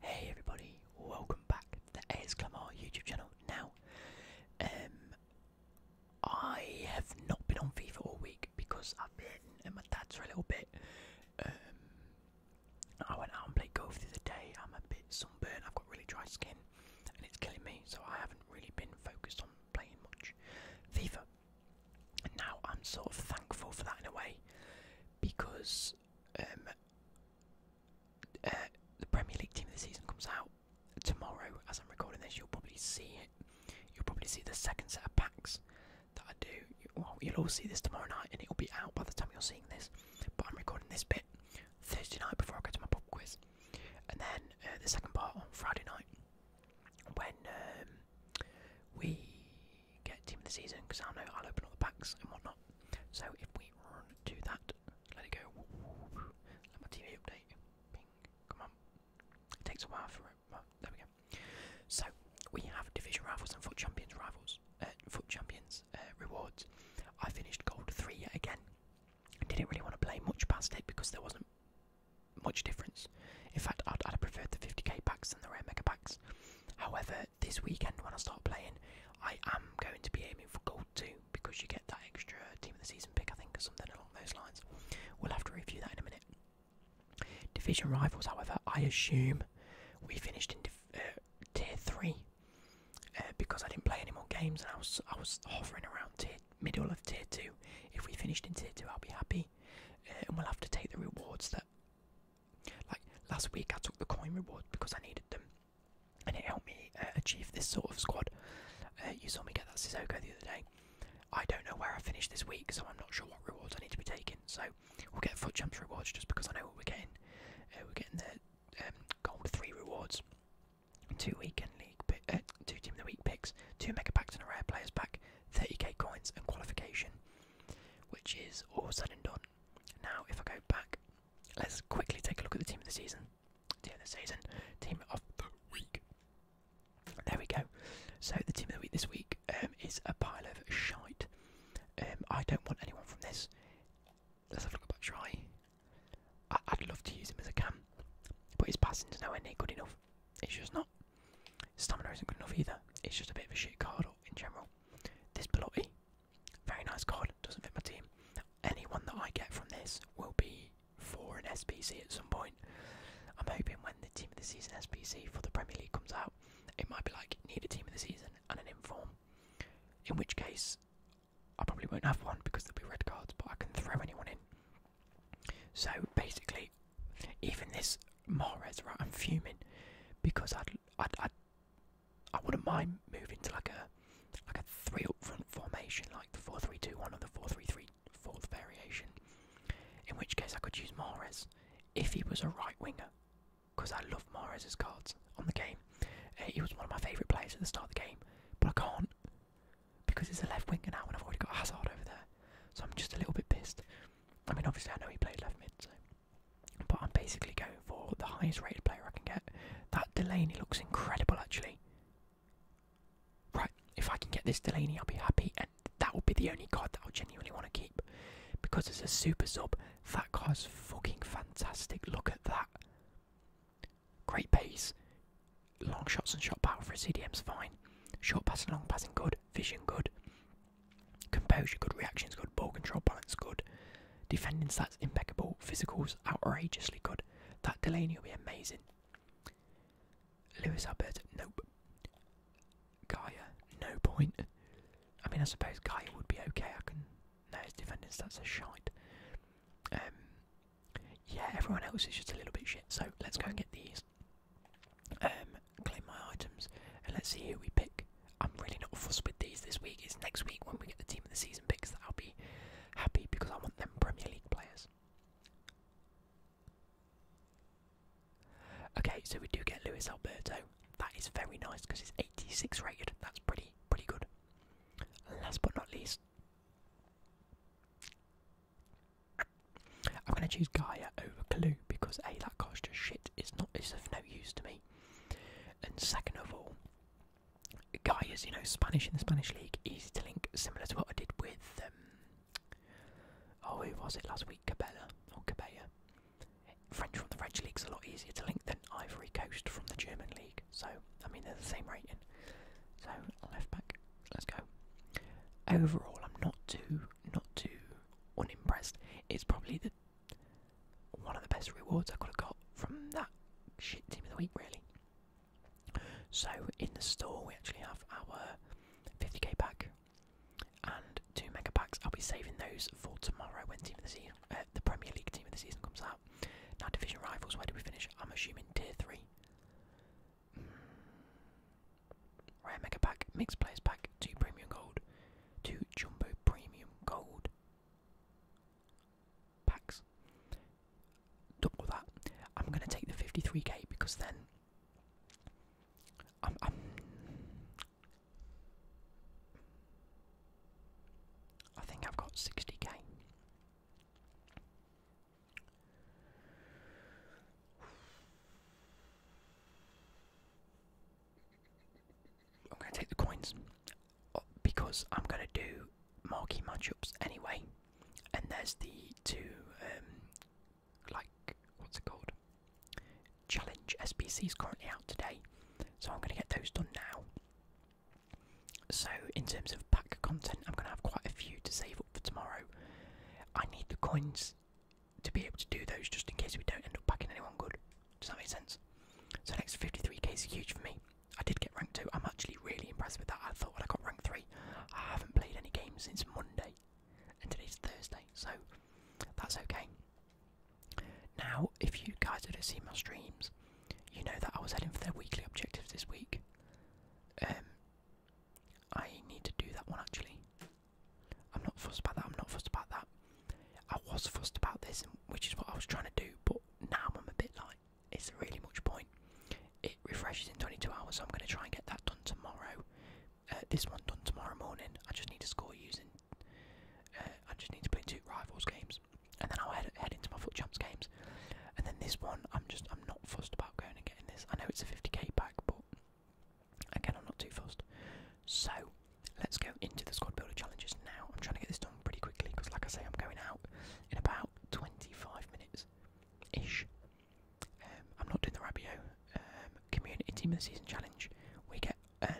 Hey everybody, welcome back to the ASCLAMR YouTube channel. Now, um, I have not been on FIFA all week because I've been at my dad's for a little bit. Um, I went out and played golf the day. I'm a bit sunburned, I've got really dry skin and it's killing me, so I haven't really been focused on playing much FIFA. And now I'm sort of thankful for that in a way because um, uh, the Premier League team of the season comes out tomorrow, as I'm recording this, you'll probably see it. You'll probably see the second set of packs that I do. Well, you'll all see this tomorrow night, and it'll be out by the time you're seeing this. But I'm recording this bit Thursday night before I go to my pub quiz, and then uh, the second part on Friday night when um, we get team of the season because I know I'll open all the packs and whatnot. So if we run to that, let it go. Let my TV update. Come on. takes a while for it. Well, there we go. So we have division rivals and foot champions rivals. Uh, foot champions uh, rewards. I finished gold three yet again. Didn't really want to play much past it because there wasn't much difference. In fact, I'd, I'd have preferred the 50k packs and the rare mega packs. However, this weekend when I start playing, I am going to be aiming for gold too because you get that extra team of the season pick, I think, or something along those lines. We'll have to review that in a minute. Division rivals, however, I assume we finished in uh, tier three uh, because I didn't play any more games and I was I was hovering around tier middle of tier two. If we finished in tier two, I'll be happy, uh, and we'll have to take the rewards there. Like last week, I took the coin reward because I needed them, and it helped me uh, achieve this sort of squad. Uh, you saw me get that Sissoko the other day. I don't know where I finished this week, so I'm not sure what rewards I need to be taking. So we'll get foot jumps rewards just because I know what we're getting. Uh, we're getting the um, gold three rewards, two weekend league, two team of the week picks, two mega packs and a rare players pack, 30k coins and qualification, which is all said and done now, if I go back, let's quickly take a look at the team of the season. Team of the season, team of the week. There we go. So the team of the week this week um, is a pile of shite. Um, I don't want anyone from this. Let's have a look about try. I I'd love to use him as a cam, but his to nowhere near good enough. It's just not. Stamina isn't good enough either. It's just a bit of a shit card in general. This Pelotti, very nice card, doesn't fit my team. Anyone that I get from this will be for an SPC at some point. I'm hoping when the team of the season SPC for the Premier League comes out, it might be like need a team of the season and an inform. In which case, I probably won't have one because there'll be red cards, but I can throw anyone in. So basically, even this Mares, right? I'm fuming because i i i I wouldn't mind moving to like a like a three up front formation, like the four three two one or the four three three fourth variation. In which case, I could use Mares if he was a right winger, because I love Mares's cards on the game. Uh, he was one of my favourite players at the start of the game, but I can't because he's a left winger now, and I've already got Hazard over there. So I'm just a little bit pissed. I mean, obviously, I know he played left mid, so but I'm basically going for the highest rated player I can get. That Delaney looks incredible, actually. Right, if I can get this Delaney, I'll be happy, and that will be the only card that I'll genuinely want to keep. Because it's a super sub, that card's fucking fantastic. Look at that. Great pace. Long shots and shot power for a CDM's fine. Short passing, long passing, good. Vision, good. Composure, good. Reactions, good. Ball control, balance, good. Defending stats impeccable, physicals outrageously good. That Delaney will be amazing. Lewis Albert, nope. Gaia, no point. I mean, I suppose Gaia would be okay. I can. No, his defending stats are shite. Um, yeah, everyone else is just a little bit shit. So let's go and get these. Um, my items and let's see who we pick. I'm really not fussed with these this week. It's next week when we get the team of the season picks that I'll be happy because I want them Premier League players. Okay, so we do get Luis Alberto. That is very nice because he's 86 rated. That's pretty pretty good. last but not least, I'm gonna choose Gaia over Clue because a that costs just shit. It's not. It's of no use to me. And second of all, Guy is, you know, Spanish in the Spanish league, easy to link, similar to what I did with, um, oh, who was it last week? Cabela or Cabella. French from the French league's a lot easier to link than Ivory Coast from the German league. So, I mean, they're the same rating. So, left back, let's go. Overall, I'm not too, not too unimpressed. It's probably the one of the best rewards I could have got from that shit team of the week, really. So in the store we actually have our 50k pack and two mega packs. I'll be saving those for tomorrow when team of the season, uh, the Premier League team of the season comes out. Now division rivals, where do we finish? I'm assuming tier three. Mm. mega pack, mixed players pack, two premium gold, two jumbo premium gold packs. Double that. I'm gonna take the 53k because then i I think I've got 60k. I'm going to take the coins uh, because I'm going to do marquee matchups anyway. And there's the two, um, like, what's it called? Challenge SBCs currently out today. So I'm going to get those done now. So, in terms of pack content, I'm going to have quite a few to save up for tomorrow. I need the coins to be able to do those just in case we don't end up packing anyone good. Does that make sense? So next 53k is huge for me. I did get ranked 2. I'm actually really impressed with that. I thought when I got ranked 3, I haven't played any games since Monday, and today's Thursday, so that's okay. Now, if you guys have seen my streams, you know that I was heading for their weekly objective this week. Um, I need to do that one actually. I'm not fussed about that. I'm not fussed about that. I was fussed about this, which is what I was trying to do, but now I'm a bit like, it's really much point. It refreshes in 22 hours, I'm going to try and get that done tomorrow. Uh, this one done tomorrow morning. I just need to score using. Uh, I just need to play two rivals games, and then I'll head, head into my foot jumps games. And then this one, I'm just I'm not fussed about going and getting this. I know it's a 50k pack, but again, I'm not too fussed. So Let's go into the squad builder challenges now. I'm trying to get this done pretty quickly because, like I say, I'm going out in about 25 minutes ish. Um, I'm not doing the Rabio um, community team of the season challenge. We get a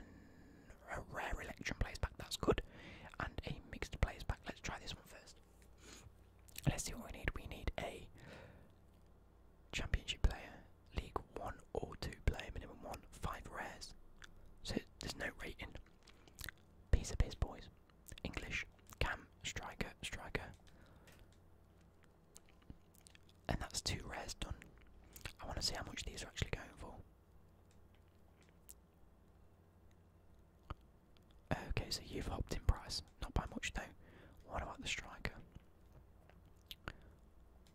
rare election players back, that's good, and a mixed players back. Let's try this one first. Let's see what we need. We need a championship player, League One or Two player, minimum one, five rares. So there's no rating. Piece of piss, boys. English, Cam, Striker, Striker. And that's two rares done. I want to see how much these are actually going for. Okay, so you've hopped in price. Not by much though. What about the striker?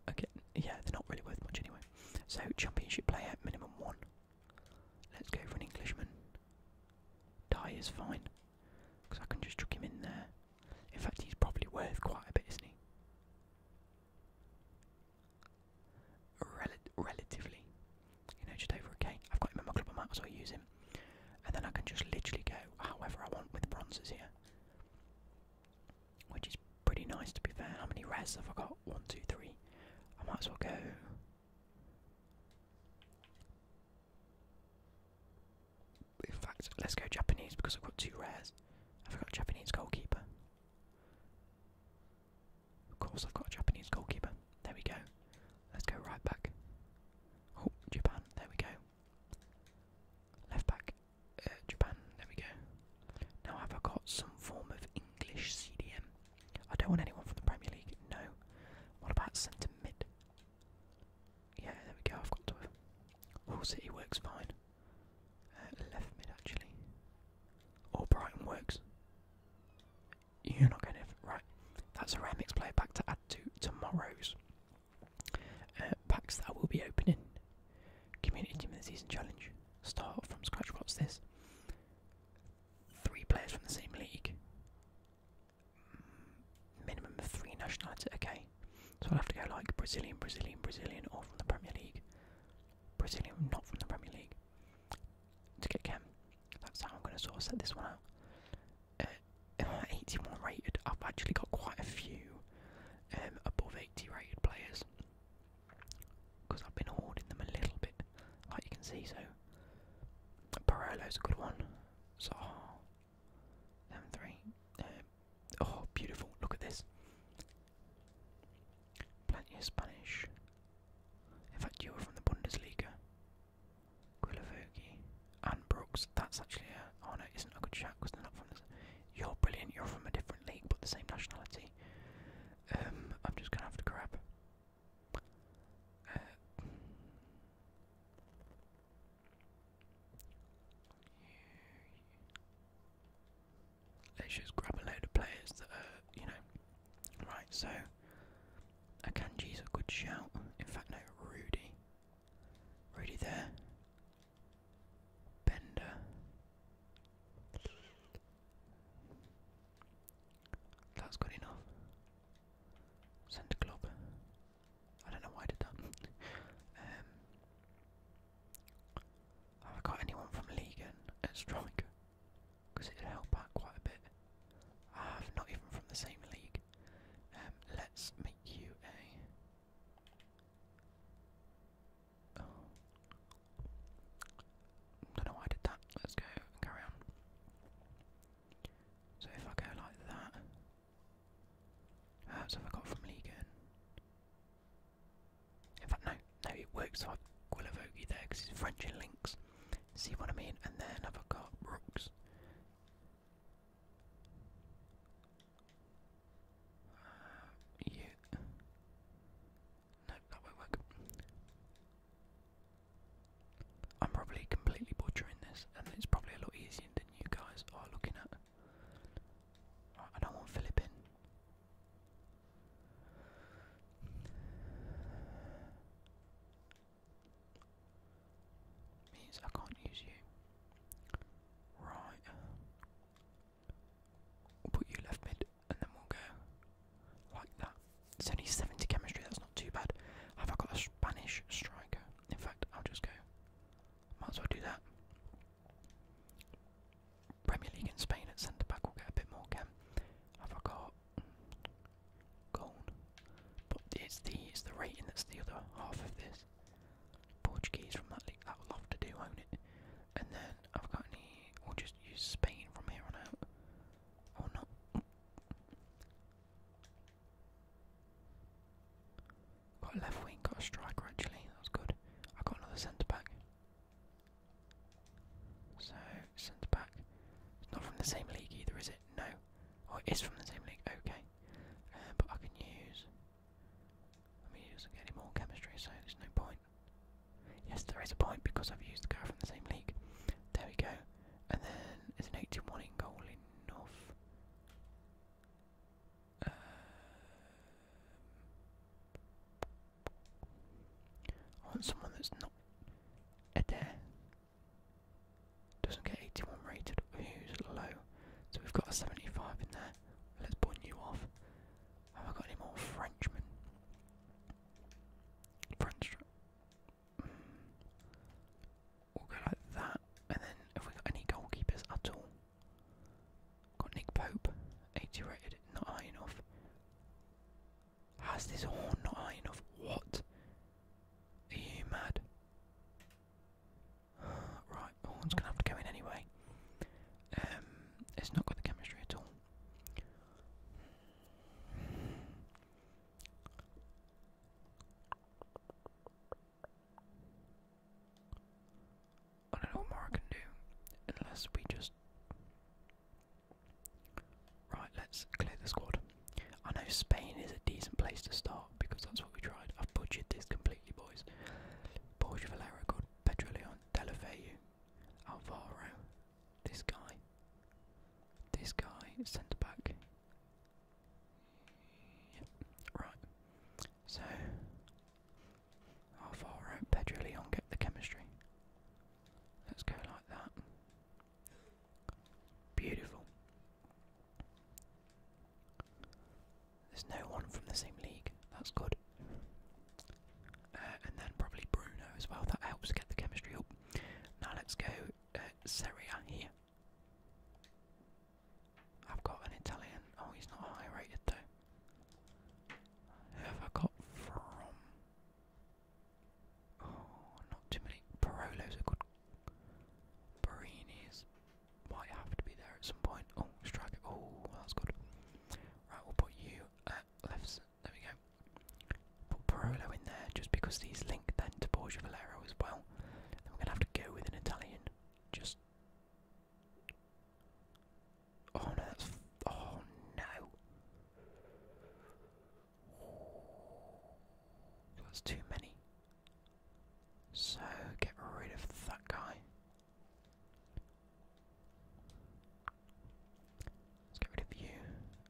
Okay, yeah, they're not really worth much anyway. So, championship player, minimum one. Let's go for an Englishman. Die is fine, because I can just chuck him in there. In fact, he's probably worth quite a bit, isn't he? relatively. You know, just over a K. I've got him in my club, I might as well use him. And then I can just literally go however I want with the bronzes here. Which is pretty nice to be fair. How many res have I got? One, two, three. I might as well go. In fact, let's go Japanese because I've got two rares. Have I got Japanese goalkeeper? Of course, I've got a Japanese goalkeeper. There we go. Let's go right back. Oh, Japan. There we go. Left back. Uh, Japan. There we go. Now, have I got some form of English CDM? I don't want anyone from the Premier League. No. What about centre mid? Yeah, there we go. I've got to. Hull City works fine. Uh, left mid actually. Or Brighton works. You're not going to right. That's a Remix player pack to add to tomorrow's uh, packs that will be opening. Community Team of the Season Challenge. Start from scratch. What's this? three players from the same league. Mm, minimum of three nationalities. Okay, so I'll have to go like Brazilian, Brazilian, Brazilian, or from the Premier League. Brazilian, not from the Premier League. To get Cam, that's how I'm going to sort of set this one out. i uh, 81 rated, I've actually got quite a few um, above 80 rated players because I've been hoarding them a little bit, like you can see. So is a good one. So oh, three. Um, oh, beautiful! Look at this. Plenty of Spanish. In fact, you were from the Bundesliga. Guilavogi and Brooks. That's actually an honor. Oh is isn't a good shout because they're not from this. You're brilliant. You're from a different league but the same nationality. Um, I'm just gonna have to grab uh, let's just grab a load of players that are, you know. Right, so Akanji's a good shout. In fact, no, Rudy. Rudy there. Bender. That's good enough. Centre club. I don't know why I did that. Um, have I got anyone from League at Strike? Because it'd out quite a bit. I have not even from the same league. Um, let's make you a. Oh, don't know why I did that. Let's go and carry So if I go like that, uh, so have I got from Legion? In fact, no, no, it works. So I've Guillavogi there because he's French links. See what I mean? And then have got Brooks? Uh, no, that won't work. I'm probably completely butchering this, and it's probably a lot easier than you guys are looking at. I don't want Philip in. Means I can't use you. Right. put you left mid and then we'll go like that. It's only 70 chemistry, that's not too bad. Have I got a Spanish striker? In fact, I'll just go. Might as well do that. Premier League in Spain at centre back will get a bit more chem. Have got hmm, gold? But it's the it's the rating that's the other half of this. Portuguese from that league, that will have to do, won't it? And then I've got we'll just use Spain from here on out. Oh, got left wing, got a striker actually, that good. I got another centre back. So, centre back. It's not from the same league either, is it? No. Oh, it is from the same league, okay. Um, but I can use. I mean, it does more chemistry, so there's no point. Yes, there is a point because I've used the guy from the same league. There we go. And then is an 81 in goal in North. I um, want someone that's not Adair. Doesn't get 81 rated, who's low. So we've got a 75 in there. Let's put you off. Have I got any more Frenchmen? French. We'll go like that, and then have we got any goalkeepers at all? Got Nick Pope, 80 rated, not high enough. Has this horn not high enough? What? Are you mad? right, horn's gonna have to go in anyway. Um, it's not got the chemistry at all. I don't know what more I can do unless we just. Right, let's clear the squad. I know Spain is a decent place to start because that's what we tried. I've butchered this completely, boys. Borja Valero, good. Pedro Leon, Delafeu, Alvaro, this guy. This guy, centre back. Yep, right. So, how far out Pedro Leon get the chemistry? Let's go like that. Beautiful. There's no one from the same league. That's good. Uh, and then probably Bruno as well. That helps get the chemistry up. Now let's go uh, Serie here. I've got an Italian. Oh, he's not high rated though. Who have I got from? Oh, not too many. Parolo's a good. Barini's might have to be there at some point. Oh, strike Oh, that's good. Right, we'll put you at left there we go. Put Parolo in there just because these link then to Borgia Valero as well. Then we going to have to go with an Italian. Just. Oh, oh no. That's too many. So get rid of that guy. Let's get rid of you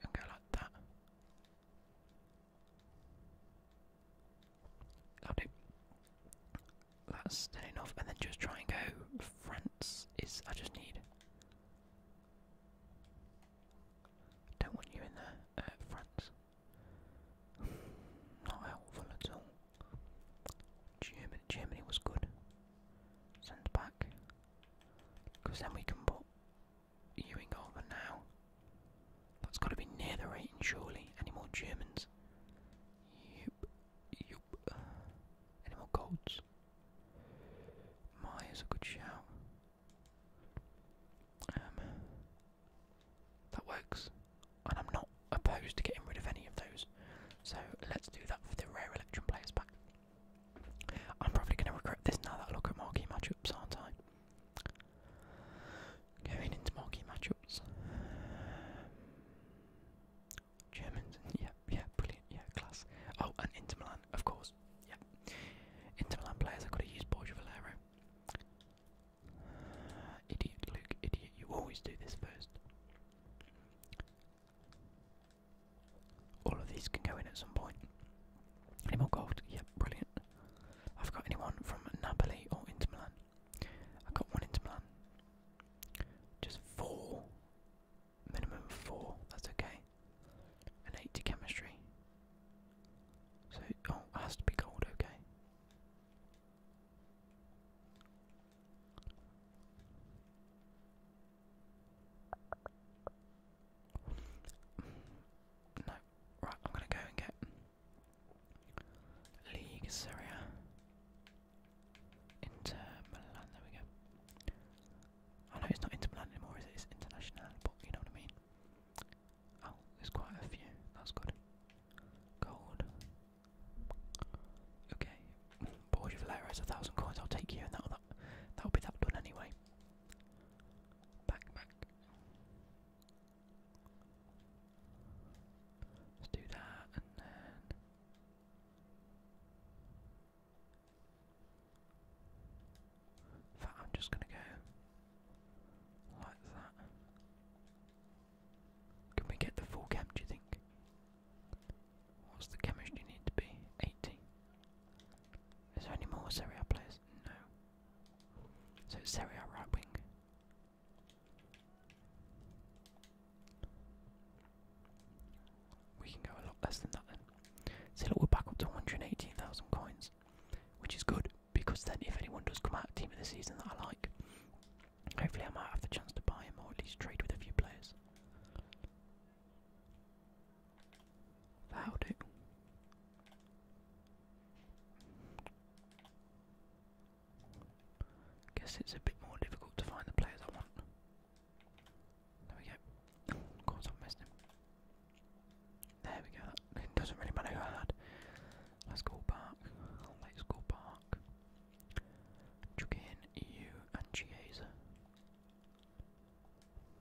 and go like that. That'll That's then enough, and then just try and go. France is. I just need. Don't want you in there, uh, France. Not helpful at all. Germany, Germany was good. Send back. Because then we can put Ewing over now. That's got to be near the rating, surely. Any more Germans? Yup. Yup. Any more Golds? Myers, a good shout. Um, that works. And I'm not opposed to getting rid of any of those. So let's do that for the rare election players back. I'm probably going to regret this now that I look at marquee matchups, aren't I? Going into marquee matchups. Germans, yeah, yeah, brilliant, yeah, class. Oh, and Inter Milan, of course, yeah. Inter Milan players, I could have used Borgia Valero. idiot, Luke, idiot, you always do this first. All of these can go in at some point. Any more gold? Yep, brilliant. I've got anyone from Napoli or Inter Milan. I have got one Inter Milan. Just four. Minimum four. That's okay. An eight to chemistry. So oh, it has to be gold. Okay. No, right, I'm gonna go and get League Syria Inter Milan, there we go. I know it's not Inter anymore, is it? It's International, but you know what I mean. Oh, there's quite a few, that's good. Gold. Okay, Borgia Valera has a thousand coins, I'll take you, and that'll, that, will that will be that done anyway. Back, back. Let's do that and then. I'm just going to go like that. Can we get the full chem, do you think? What's the chemistry need to be? Eighteen. Is there any more Serie players? No. So it's Serie right wing. We can go a lot less than that then. So look, we're back up to 118,000 coins, which is good because then if anyone does come out team of the season that I like, hopefully I might have the chance to buy him or at least trade with a few players that do. Guess it's a bit more difficult to find the players I want. There we go. Of course, i missed him. There we go. it doesn't really matter who I had. Let's go back. Let's go back. Chuck in EU and Chiesa.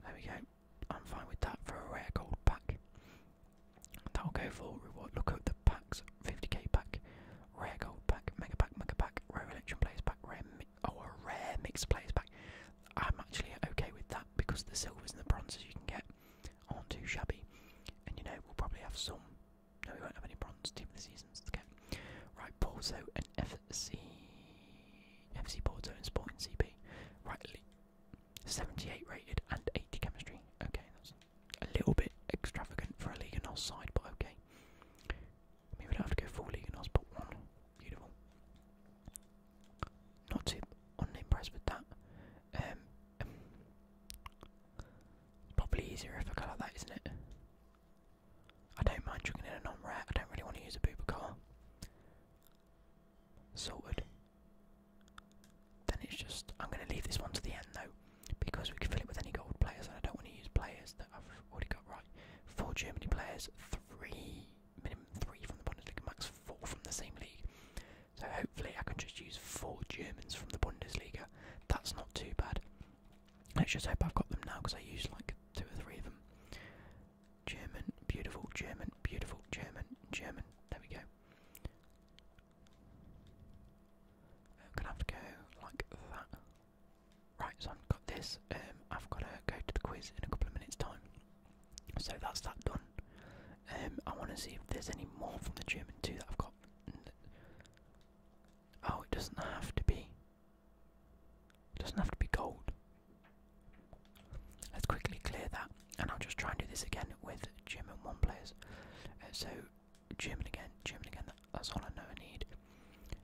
There we go. I'm fine with that for a rare gold pack. That'll go for reward. Look at the packs 50k pack, rare gold pack, mega pack, mega pack, rare election players pack, rare mi oh, a rare mixed players pack. I'm actually okay with that because the silvers and the bronzes you can get aren't too shabby. And you know, we'll probably have some. No, we won't have any bronze team of the seasons to get. Right, Porto and FC. FC Porto and Sporting CP. Rightly, 78 rated and 80 chemistry. Okay, that's a little bit extravagant for a Liga NOS side, but okay. I mean, we don't have to go full Liga NOS, but one. Beautiful. Not too unimpressed with that. Um, probably easier if I go like that, isn't it? I don't mind chugging in a non rat I don't really want to use a booper car sorted. Then it's just, I'm going to leave this one to the end though, because we can fill it with any gold players, and I don't want to use players that I've already got right. Four Germany players, three, minimum three from the Bundesliga, max four from the same league. So hopefully I can just use four Germans from the Bundesliga. That's not too bad. Let's just hope I've got them now, because I used like two or three of them. German, beautiful German, beautiful German, German. There we go. I'm gonna have go like that. Right, so I've got this. Um, I've got to go to the quiz in a couple of minutes' time. So that's that done. Um, I want to see if there's any more from the German too that I've got. Oh, it doesn't have to be. It doesn't have to be gold. Let's quickly clear that, and I'll just try and do this again with Jim and one players. Uh, so, Jim again, Jim again. that's all I know I need.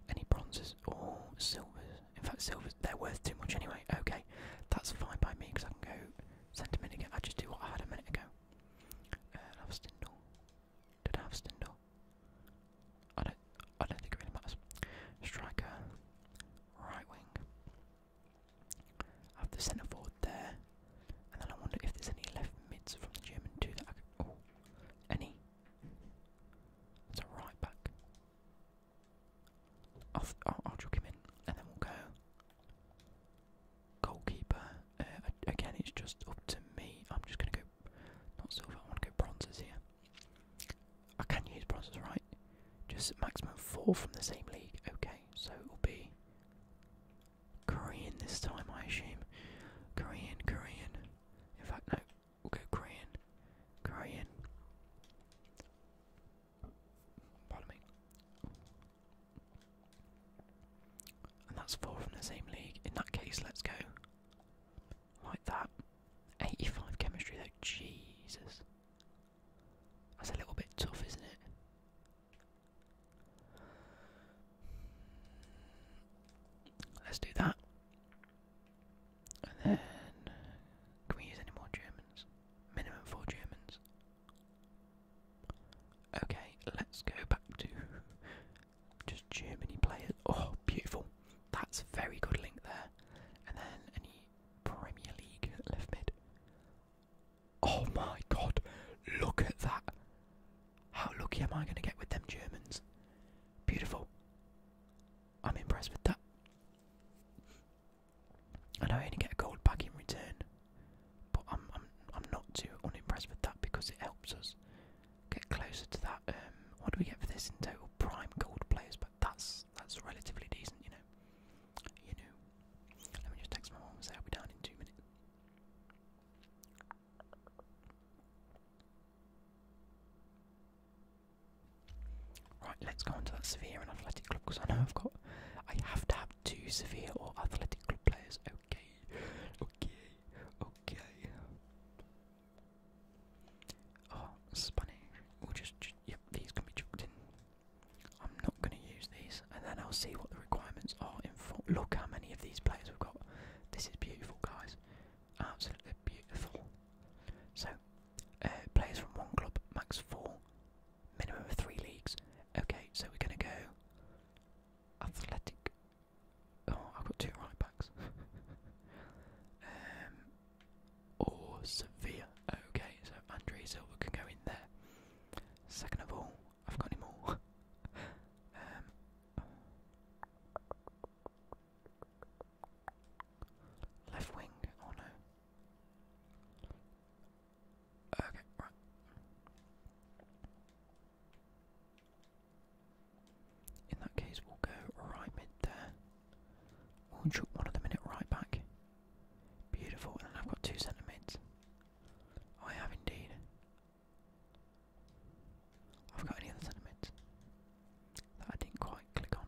Any bronzes or silvers? In fact, silvers they're worth too much anyway. Okay, that's fine by me because I can go sentiment again. I just do what I had a minute ago. I uh, have Stindle. Did I have Stindle? I don't. I don't think it really matters. Striker, right wing. I have the centre forward there, and then I wonder if there's any left mids from the German too that I could. Oh, any? It's a right back. I'll, I'll, i him in, and then we'll go. Goalkeeper. Uh, again, it's just up to me. I'm just gonna go. Not silver. I want to go bronzes here. I can use bronzes, right? Just maximum four from the same league. Okay, so it will be Korean this time, I assume. Korean, Korean. In fact, no, we'll go Korean, Korean. Pardon me. And that's four from the same league. In that case, let's go like that. 85 chemistry though, Jesus. That's a little bit tough, isn't it? Let's do that. And then, can we use any more Germans? Minimum four Germans. Okay, let's go back to just Germany players. Oh, beautiful. That's a very good link there. And then any Premier League left mid. Oh my god, look at that. How lucky am I going to get with them Germans? Beautiful. I'm impressed with that. And I only get a gold back in return, but I'm I'm I'm not too unimpressed with that because it helps us get closer to that. Um, what do we get for this in total? Prime gold players, but that's that's relatively decent, you know you know. Let me just text my mom and say I'll be down in two minutes. Right, let's go on to that Severe and Athletic Club because I know I've got. I have to have two Severe or Athletic Club players. Okay, okay, okay. Oh, Spanish. We'll just. just yep, these can be chucked in. I'm not going to use these, and then I'll see what the requirements are. In full. Look how many of these players we've got. This is beautiful, guys. Absolutely beautiful. So, uh, players from one club, max four, minimum of three leagues. Okay, so we're going to go athletic. Oh, I've got two right backs. Um, or Sevilla. Okay, so Andre Silva can go in there. Second of all, I've got him more. Um, left wing, oh no. Okay, right. In that case, we'll go right mid there. we one of them in right back. Beautiful, and I've got two centimeters. Oh, I have indeed. I've got any other centre that I didn't quite click on.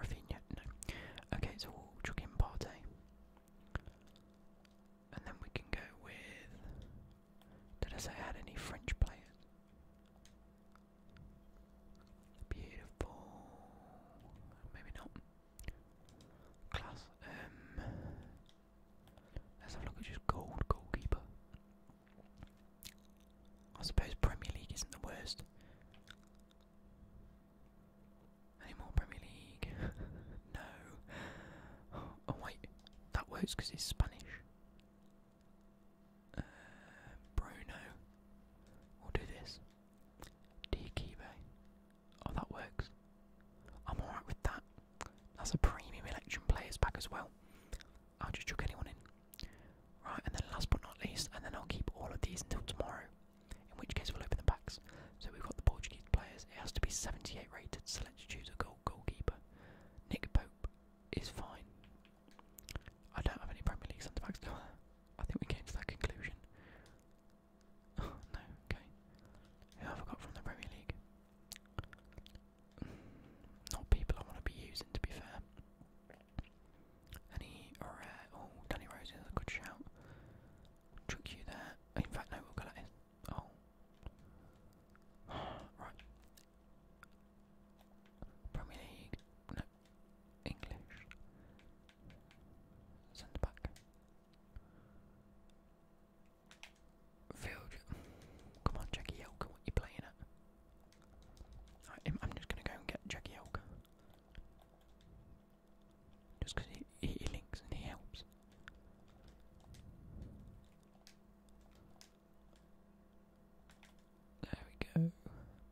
Rafinha, no. Okay, so we'll chuck And then we can go with. Did I say had any French players? Beautiful. Maybe not. Class. Um, let's have a look at just gold goalkeeper. I suppose Premier League isn't the worst. Any Premier League? no. Oh wait, that works because it's Spanish. Uh, Bruno, we'll do this. Diakibe. Oh, that works. I'm alright with that. That's a premium election players pack as well. I'll just chuck anyone in. Right, and then last but not least, and then I'll keep all of these until tomorrow, in which case we'll open the packs. So we've got the Portuguese players. It has to be 78 rated, so let's choose a goal goalkeeper. Nick Pope is fine. I don't have any Premier League centre backs, do I think we came to that conclusion. no, okay. Who I forgot from the Premier League? Not people I want to be using, to be fair. Any rare? Uh, oh, Danny Rose is a good shout. Chuck you there. In fact, no, we'll go like this. Oh. right. Premier League. No, English. Send back. Field. Come on, Jackie Yelka, what you playing at? I'm just gonna go and get Jackie Yelka. Just he, he, links and he helps. There we go.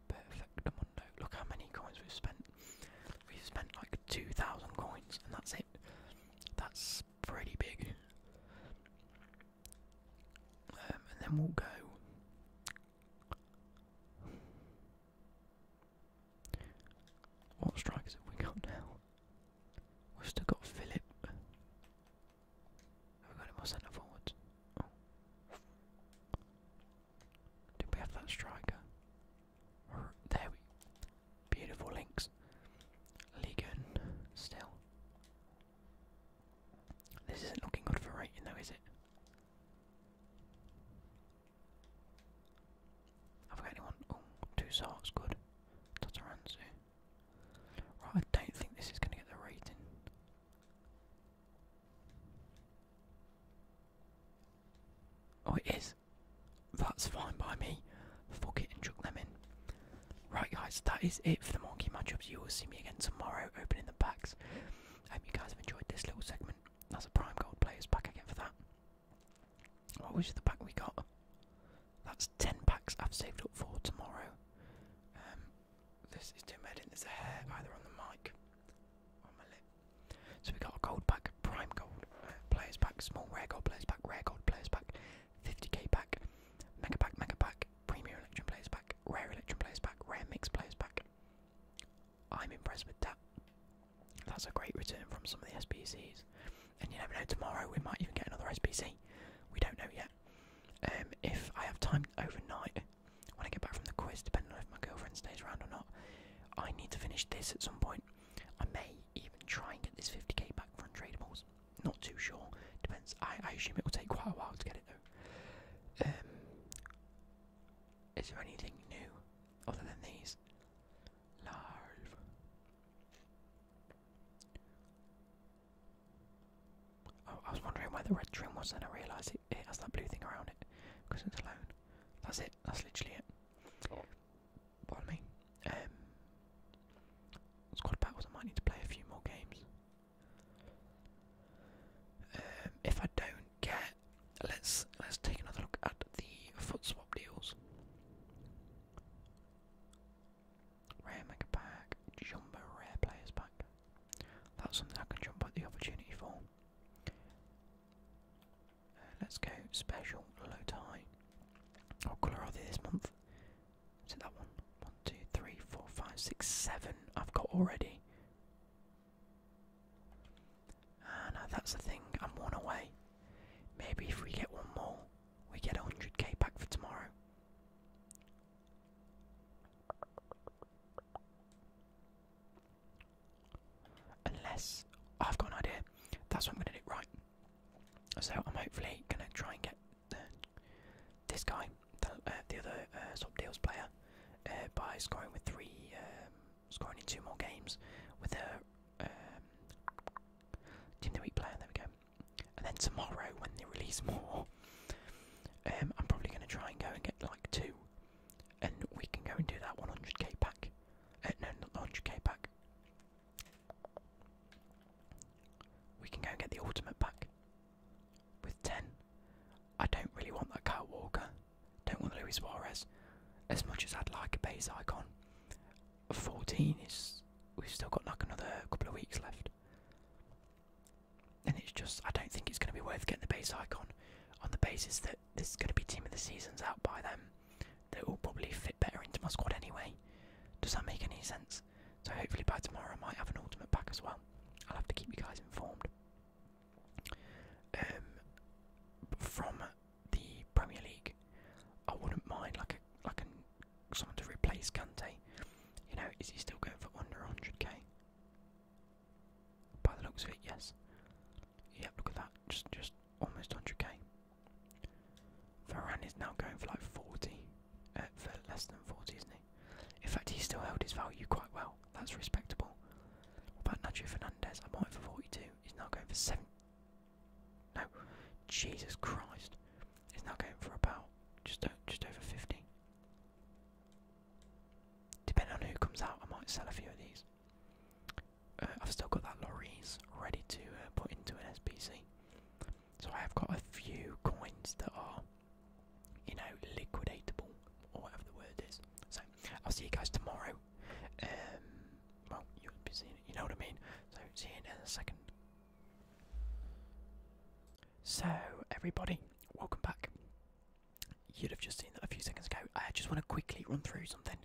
Perfect. Oh, look how many coins we've spent. We've spent like 2,000 coins, and that's it. That's pretty big. Um, and then we'll go. What strikers have we got now? We've still got Philip. Have we got him more centre forwards? Did we have that striker? there we Beautiful links. Ligon still. This isn't looking good for rating though, is it? Have I got anyone? Oh, two sorts, good. Tataransu. Right, I don't think this is going to get the rating. Oh, it is. That's fine by me. Fuck it and chuck them in. Right, guys, that is it for the monkey matchups. You will see me again tomorrow opening the packs. I hope you guys have enjoyed this little segment. That's a prime gold players pack again for that. What was the pack we got? That's 10 packs I've saved up for tomorrow. Um, this is doing made in there's a hair either on the mic or on my lip. So we got a gold pack, prime gold, uh, players pack, small rare gold players pack, rare gold players pack, 50k pack, mega pack, mega pack, premier electron players pack, rare electron players pack, rare mix players pack. I'm impressed with that. That's a great return from some of the SPCs. And you never know, tomorrow we might even get another SPC. We don't know yet. Um, if I have time overnight, when I get back from the quiz, depending on if my girlfriend stays around or not, I need to finish this at some point. I may even try and get this 50k back from tradables. Not too sure. Depends. I, I assume it will take quite a while to get it though. Um, is there anything new other than these? Live. Oh, I was wondering where the red trim was, and I realised it, it has that blue thing around it because it's alone. That's it. That's literally it. Oh. Pardon me. Um, squad battles. I might need to play a few more games. Um, if I don't get, let's let's take another look at the foot swap deals. Rare mega pack, jumbo rare players pack. That's something I can jump at the opportunity for. Let's go special low tie. What colour are they this month? Is it that one? One, two, three, four, five, six, seven. I've got already. Ah, that's the thing. I'm one away. Maybe if we get one more, we get 100k back for tomorrow. Unless I've got an idea. That's what I'm gonna do, right? So I'm hopefully gonna try and get this guy, the, uh, other uh, deals player, uh, by scoring with three, um, scoring in two more games with a um, team the week player. There we go. And then tomorrow, when they release more, um, I'm probably gonna try and go and get like two, and we can go and do that 100k pack no, not the k pack. We can go and get the ultimate pack with 10. I don't really want that Kyle Walker. Don't want the Luis Suarez. As much as I'd like a base icon, 14 is. We've still got like another couple of weeks left. And it's just, I don't think it's going to be worth getting the base icon on the basis that this is going to be team of the seasons out by them. They will probably fit better into my squad anyway. Does that make any sense? So hopefully by tomorrow I might have an ultimate pack as well. I'll have to keep you guys informed. Um, from the Premier League, I wouldn't mind like a like a, someone to replace Kante. You know, is he still going for under 100k? By the looks of it, yes. Yep, look at that. Just just almost 100k. Varane is now going for like 40, uh, for less than 40, isn't he? In fact, he still held his value quite well. That's respectable. What about Nacho Fernandez? I might him for 42. He's now going for 7. No, Jesus Christ. He's now going for about just uh, just over 50. Depending on who comes out, I might sell a few of these. I've still got that lorries ready to uh, put into an SPC. So I have got a few coins that are, you know, liquidatable or whatever the word is. So I'll see you guys tomorrow. Um, well, you'll be it, you know what I mean. So see you in a second. So everybody, welcome back. You'd have just seen that a few seconds ago. I just want to quickly run through something.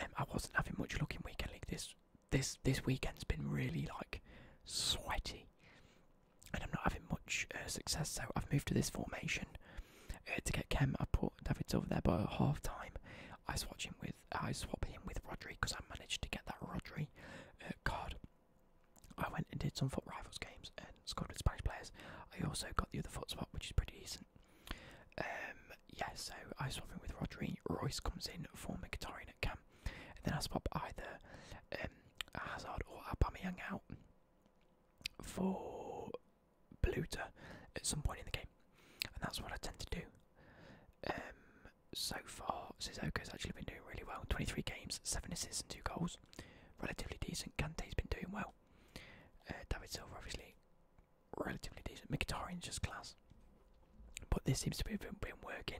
Um, I wasn't having much luck in weekend league. This this this weekend's been really like sweaty, and I'm not having much uh, success. So I've moved to this formation uh, to get Kem. I put David over there, by half time I swap him with I swap him with Rodri because I managed to get that Rodri uh, card. I went and did some foot rivals games and scored with Spanish players. I also got the other foot spot, which is pretty decent. Um, yeah, so I swap in with Rodri. Royce comes in for Mkhitaryan at camp, and then I swap either um, Hazard or Aubameyang out for Beluta at some point in the game, and that's what I tend to do. Um, so far, has actually been doing really well. 23 games, 7 assists and 2 goals. Relatively decent. Kante's been doing well. Uh, David Silva, obviously, relatively decent. Mkhitaryan's just class. But this seems to be been, working.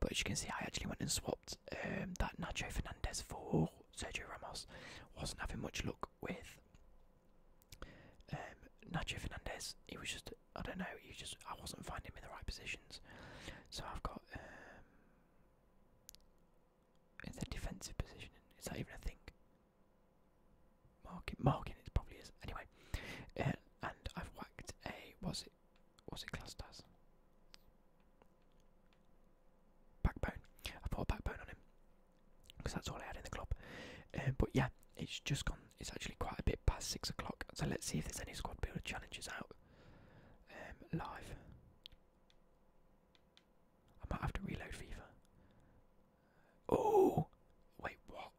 But as you can see, I actually went and swapped um, that Nacho Fernandez for Sergio Ramos. Wasn't having much luck with um, Nacho Fernandez. He was just, I don't know, You just I wasn't finding him in the right positions. So I've got. Um, is defensive position. Is that even a thing? Marking, marking it probably is. Anyway, uh, and I've whacked a, was it, was it classed as? Backbone. I put a backbone on him because that's all I had in the club. Uh, but yeah, it's just gone. It's actually quite a bit past six o'clock. So let's see if there's any squad builder challenges out um, live. I might have to reload FIFA. Oh, wait, what?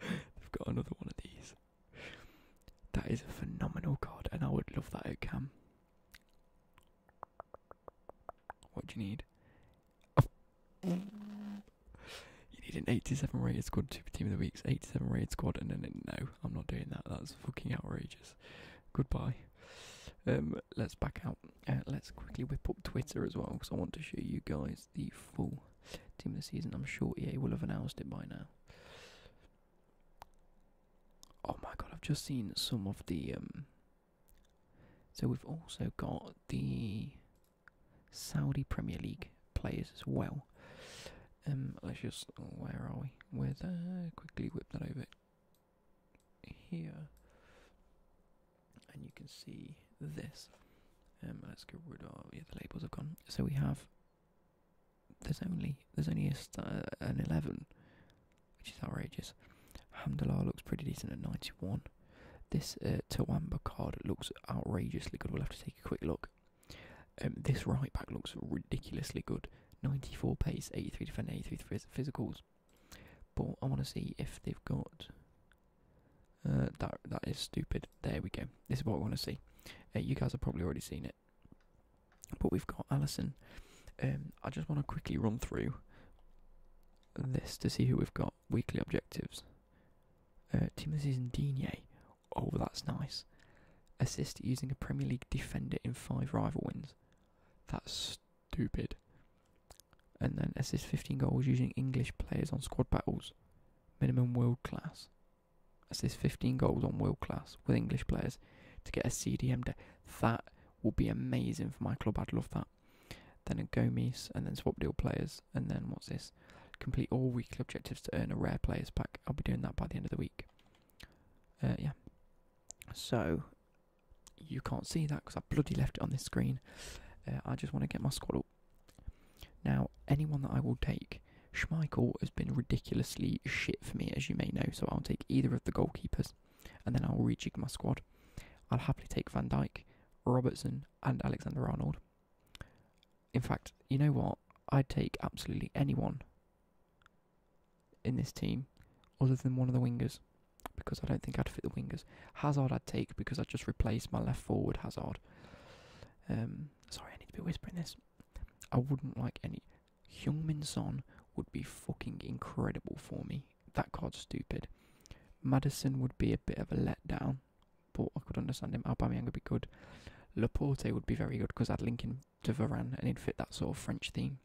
They've got another one of these. That is a phenomenal card, and I would love that at Cam. What do you need? You need an 87 rated squad, to be Team of the Week's 87 rated squad, and then no, I'm not doing that. That's fucking outrageous. Goodbye. Um, let's back out. Uh, let's quickly whip up Twitter as well because I want to show you guys the full team of the season. I'm sure EA will have announced it by now. Oh my god, I've just seen some of the. Um, so we've also got the Saudi Premier League players as well. Um, let's just. Where are we? With Uh, quickly whip that over here and you can see this. Um, let's get rid of yeah, the labels have gone. So we have there's only there's only uh, an eleven, which is outrageous. Hamdallah looks pretty decent at ninety one. This uh, card looks outrageously good. We'll have to take a quick look. Um, this right back looks ridiculously good. 94 pace, 83 defend, 83 physicals. But I want to see if they've got. Uh, that that is stupid. There we go. This is what I want to see. Uh, you guys have probably already seen it, but we've got Allison. Um, I just want to quickly run through this to see who we've got. Weekly objectives. Uh, is this season Digne. Oh, that's nice. Assist using a Premier League defender in five rival wins. That's stupid and then assist 15 goals using English players on squad battles, minimum world class. Assist 15 goals on world class with English players to get a CDM. De- that would be amazing for my club. I'd love that. Then a Gomes, and then swap deal players, and then what's this? Complete all weekly objectives to earn a rare players pack. I'll be doing that by the end of the week. Uh, yeah. So you can't see that because I bloody left it on this screen. Uh, I just want to get my squad up. Now, anyone that I will take, Schmeichel has been ridiculously shit for me, as you may know, so I'll take either of the goalkeepers and then I'll rejig my squad. I'll happily take Van Dijk, Robertson, and Alexander Arnold. In fact, you know what? I'd take absolutely anyone in this team other than one of the wingers because I don't think I'd fit the wingers. Hazard I'd take because I'd just replace my left forward Hazard. Um, sorry, I need to be whispering this. I wouldn't like any. Heung-Min Son would be fucking incredible for me. That card's stupid. Madison would be a bit of a letdown, but I could understand him. Aubameyang would be good. Laporte would be very good because I'd link him to Varane and he'd fit that sort of French theme.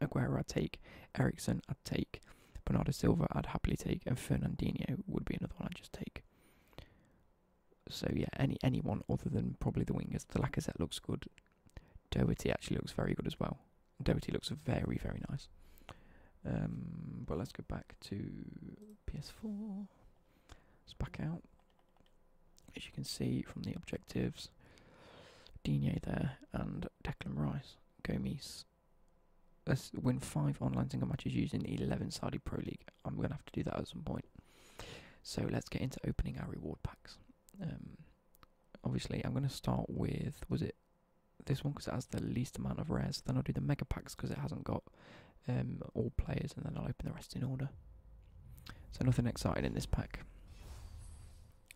Aguero I'd take, Ericsson I'd take, Bernardo Silva I'd happily take, and Fernandinho would be another one I'd just take. So yeah, any anyone other than probably the wingers. The Lacazette looks good. Doherty actually looks very good as well. Doherty looks very very nice. Um, but let's go back to PS4. It's back out. As you can see from the objectives, Digne there and Declan Rice. Gomes let's win five online single matches using 11 Saudi Pro League. I'm going to have to do that at some point. So let's get into opening our reward packs. Um, obviously, I'm going to start with, was it this one because it has the least amount of rares. Then I'll do the mega packs because it hasn't got um, all players and then I'll open the rest in order. So nothing exciting in this pack.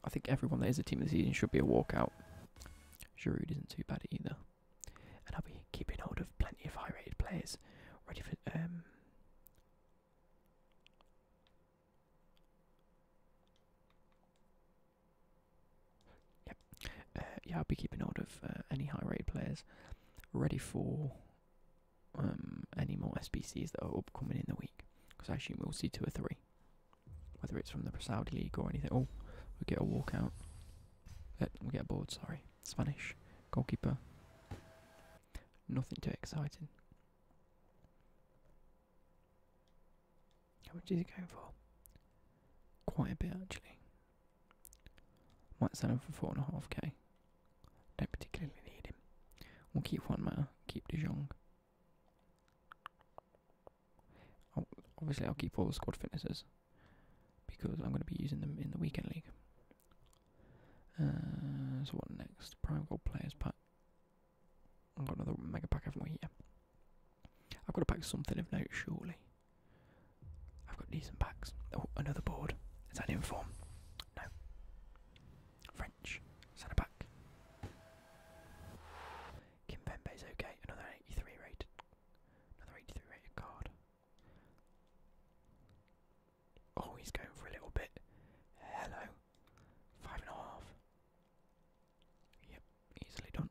I think everyone that is a team this season should be a walkout. Giroud isn't too bad either. And I'll be keeping hold of plenty of high rated players ready for um, Yep. Uh, yeah, I'll be keeping hold of uh, any high rated players ready for um, any more SBCs that are upcoming in the week. Because I assume we'll see two or three whether it's from the Saudi League or anything. Oh, we get a walkout. Uh, we get a board, sorry. Spanish. Goalkeeper. Nothing too exciting. How much is it going for? Quite a bit, actually. Might sell him for four and a half k. Don't particularly need him. We'll keep one man. Keep De Jong. Obviously, I'll keep all the squad fitnesses because I'm going to be using them in the weekend league. Uh, so what next? Prime gold players pack. I've got another mega pack, haven't we? I've got to pack something of note, surely. I've got decent packs. Oh, another board. Is that in form? No. French. Centre back. Kim is okay, another 83 rated, another 83 rated card. Oh, he's going for a little bit. Hello, five and a half. Yep, easily done.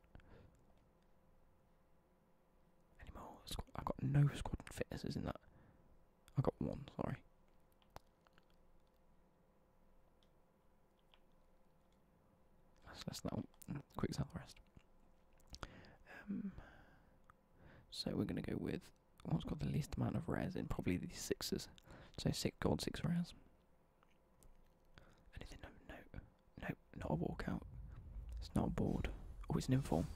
Any more? I've got no squad fitnesses in that. I got one. Sorry. That's, that's that one. Quick sell rest. Um, so we're going to go with what's got the least amount of rares in, probably the sixes. So six gold, six rares. Anything? No, no, no, not a walkout. It's not a board. Oh, it's an inform.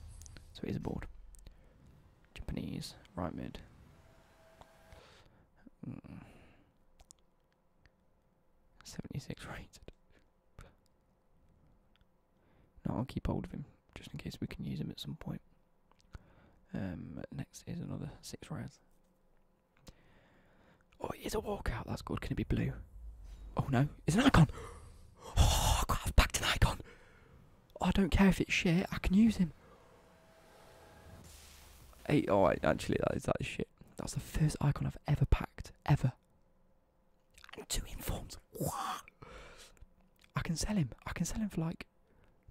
So it is a board. Japanese, right mid. Hmm. 76 rated. No, I'll keep hold of him just in case we can use him at some point. Um, next is another six rounds. Oh, it is a walkout. That's good. Can it be blue? Oh no, it's an icon. Oh I've backed an icon. I don't care if it's shit. I can use him. Eight. Oh, actually, that is that shit. That's the first icon I've ever packed, ever. two informs. What? I can sell him. I can sell him for like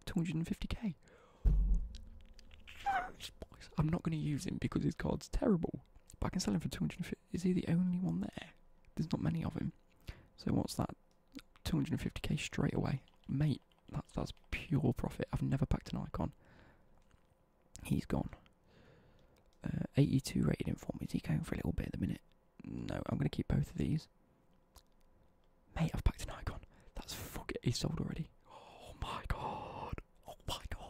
250k. I'm not going to use him because his card's terrible. But I can sell him for 250. Is he the only one there? There's not many of him. So what's that? 250k straight away, mate. That's that's pure profit. I've never packed an icon. He's gone. Uh, 82 rated in form. Is he going for a little bit at the minute? No, I'm going to keep both of these. Mate, I've packed an icon. That's fuck it. He's sold already. Oh my god. Oh my god.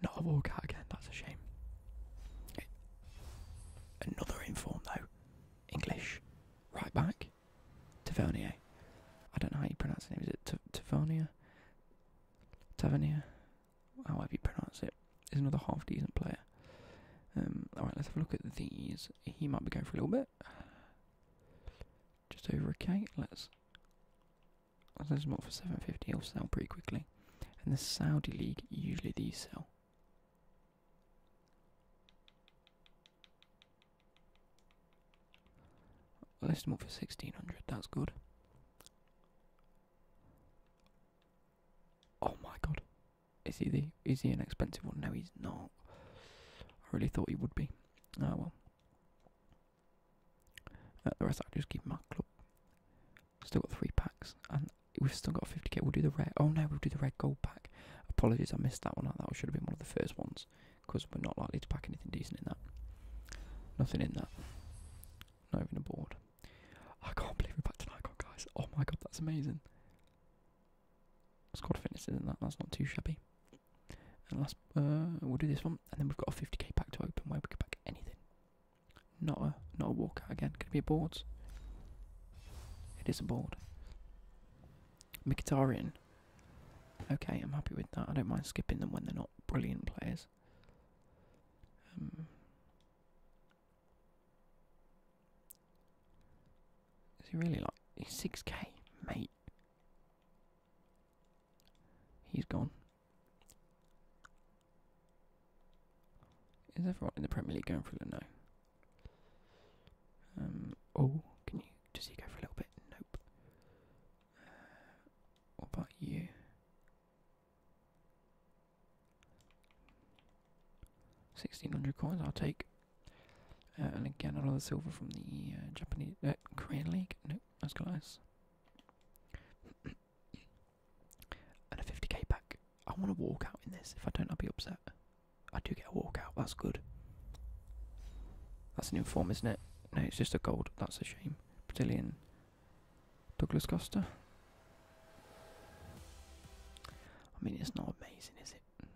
Not a walkout again. That's a shame. Another inform though. English. Right back think. I don't know how you pronounce the name. Is it Tavernier? Tavernier? However you pronounce it. Is another half decent player. Um, alright, let's have a look at these. He might be going for a little bit. Just over a K. Let's. There's not for 750. He'll sell pretty quickly. And the Saudi League, usually these sell. Well, this is up for 1600, that's good. Oh my god. Is he the is he an expensive one? No he's not. I really thought he would be. Oh well. Uh, the rest I just keep my club. Still got three packs and we've still got 50k. We'll do the red. Oh no, we'll do the red gold pack. Apologies, I missed that one out. That should have been one of the first ones because we're not likely to pack anything decent in that. Nothing in that. Not even a board. I can't believe we packed an icon, guys. Oh my god, that's amazing. Squad fitness, isn't that? That's not too shabby. And last, uh, we'll do this one, and then we've got a 50k pack to open where we could pack anything. Not a, not a walkout again. Could it be a board? It is a board. Mkhitaryan. Okay, I'm happy with that. I don't mind skipping them when they're not brilliant players. is um, he really like he's six K, mate? He's gone. Is everyone in the Premier League going through the no? Um, oh, can you does he go for a little bit? Nope. Uh, what about you? Sixteen hundred coins. I'll take. Uh, and again, another silver from the uh, Japanese Korean League. Nope, that's glass. and a fifty k pack. I want to walk out in this. If I don't, I'll be upset. I do get a walkout. That's good. That's an inform, isn't it? No, it's just a gold. That's a shame. Brazilian. Douglas Costa. I mean, it's not amazing, is it?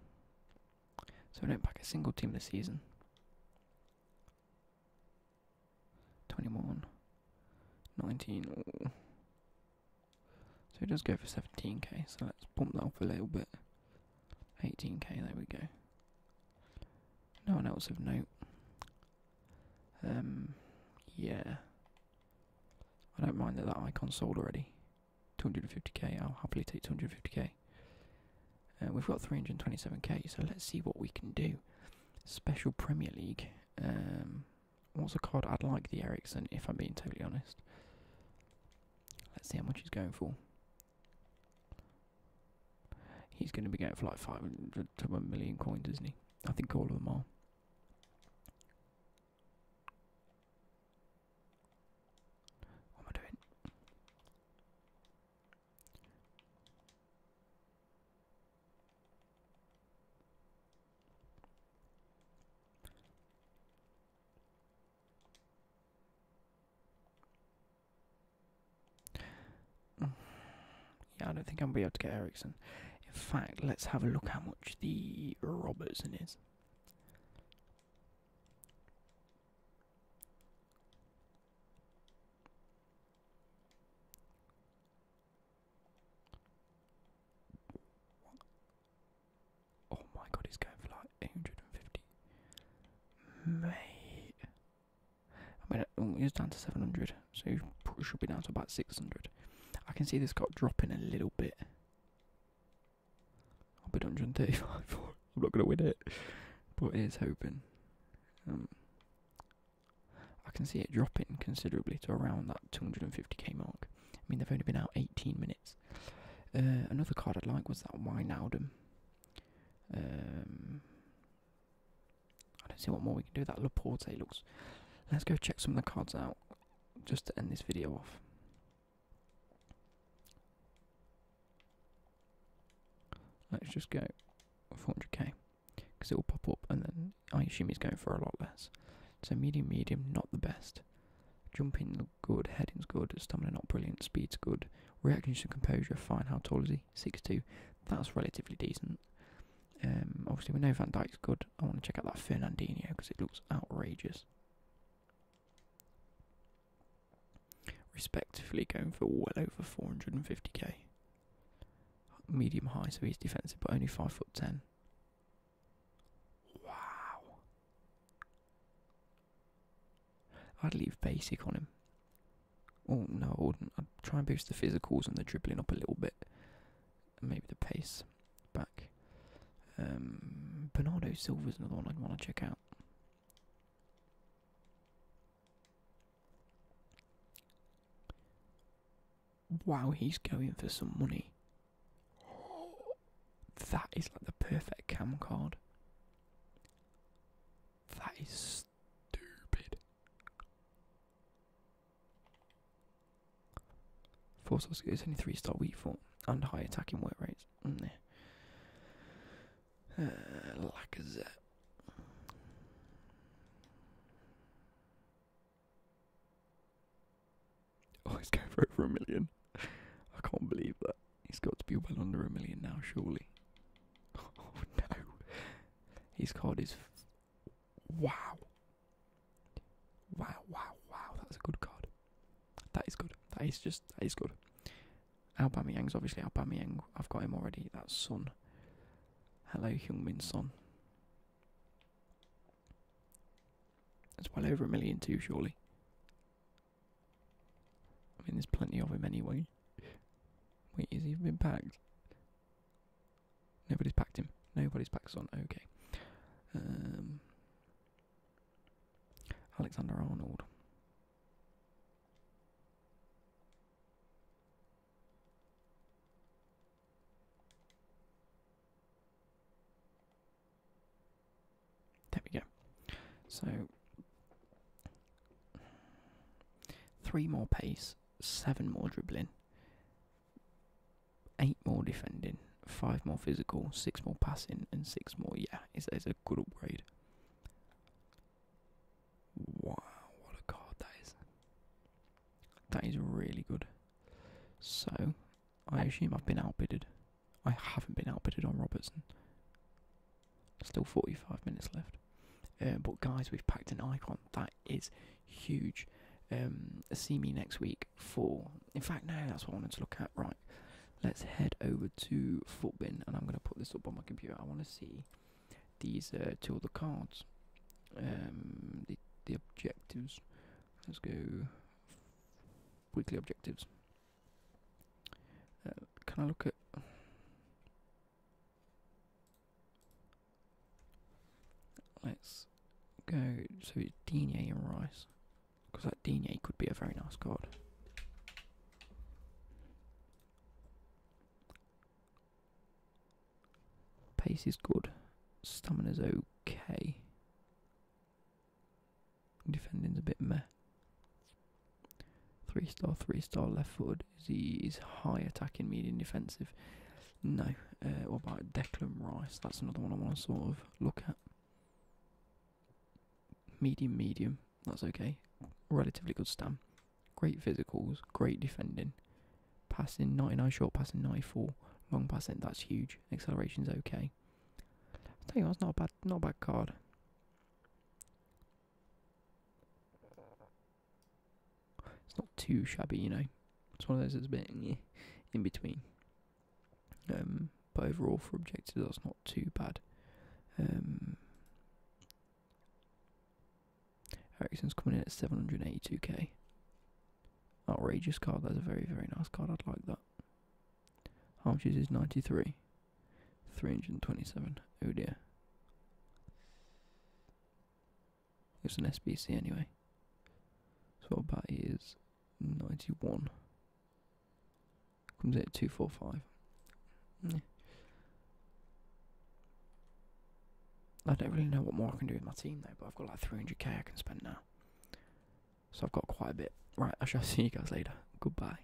So we don't pack a single team this season. 21. 19. So it does go for 17k, so let's bump that up a little bit. 18k, there we go. No one else of note. Um, yeah. I don't mind that that icon's sold already. 250k, I'll happily take 250k. Uh, we've got 327k, so let's see what we can do. Special Premier League. Um, what's a card? I'd like the Ericsson, if I'm being totally honest. Let's see how much he's going for. He's going to be getting for like 500 to 1 million coins, isn't he? I think all of them are. What am I doing? Yeah, I don't think I'm going to be able to get Ericsson. In fact, let's have a look how much the Robertson is. Oh my god, he's going for like 850. Mate. I mean, it's down to 700, so it should be down to about 600. I can see this card dropping a little bit. I'll bid 135 I'm not going to win it, but it is hoping. Um, I can see it dropping considerably to around that 250k mark. I mean, they've only been out 18 minutes. Uh, another card I'd like was that Wijnaldum. Um, I don't see what more we can do. That Laporte looks. Let's go check some of the cards out just to end this video off. Let's just go 400k because it will pop up and then I assume he's going for a lot less. So medium, medium, not the best. Jumping good, heading's good, stamina not brilliant, speed's good, Reactions to composure, fine. How tall is he? 6'2". That's relatively decent. Um, obviously, we know Van Dyke's good. I want to check out that Fernandinho because it looks outrageous. Respectively, going for well over 450k. Medium high, so he's defensive, but only five foot ten. Wow. I'd leave basic on him. Oh no, I would I'd try and boost the physicals and the dribbling up a little bit. maybe the pace back. Um, Bernardo Silva's another one I'd want to check out. Wow, he's going for some money. That is like the perfect cam card. That is stupid. Four source skill is only three star weak form and high attacking work rates. Mm. Uh, Lacazette. Oh, he's going for over a million. I can't believe that. He's got to be well under a million now, surely. Oh no. His card is. Wow. Wow, wow, wow. That's a good card. That is good. That is just. That is good. Aubameyang's obviously Aubameyang. I've got him already. That's Sun. Hello, Hyungmin Sun. That's well over a million too, surely. I mean, there's plenty of him anyway. Wait, has he been packed? Nobody's packed him. Nobody's packed on. Okay. Um, Alexander Arnold. There we go. So Three more pace, seven more dribbling, eight more defending, five more physical, six more passing, and six more. Yeah, it's, a good upgrade. Wow, what a card that is! That is really good. So, I assume I've been outbidded. I haven't been outbidded on Robertson. Still 45 minutes left. Um, but guys, we've packed an icon. That is huge. Um, see me next week for. In fact, now that's what I wanted to look at. Right, let's head over to Footbin, and I'm going to put this up on my computer. I want to see these uh, two other cards, um, the objectives. Let's go weekly objectives. Uh, can I look at? Let's go so it's Digne and Rice. Because that Digne could be a very nice card. Pace is good. Stamina's okay. Defending's a bit meh. Three star, three star left forward. he is high attacking, medium defensive? No. Uh, what about Declan Rice? That's another one I want to sort of look at. Medium, medium. That's okay. Relatively good stam. Great physicals. Great defending. Passing 99, short passing 94, long passing. That's huge. Acceleration is okay. I tell you, what, it's not bad, not a bad card. It's not too shabby, you know. It's one of those that's a bit in between. Um, but overall, for objectives, that's not too bad. Um, Ericsson's coming in at 782k. Outrageous card. That's a very, very nice card. I'd like that. How is 93? 327. Oh dear. It's an SBC anyway. So our batty is 91. Comes in 245. I don't really know what more I can do with my team though, but I've got like 300k I can spend now. So I've got quite a bit. Right, I shall see you guys later. Goodbye.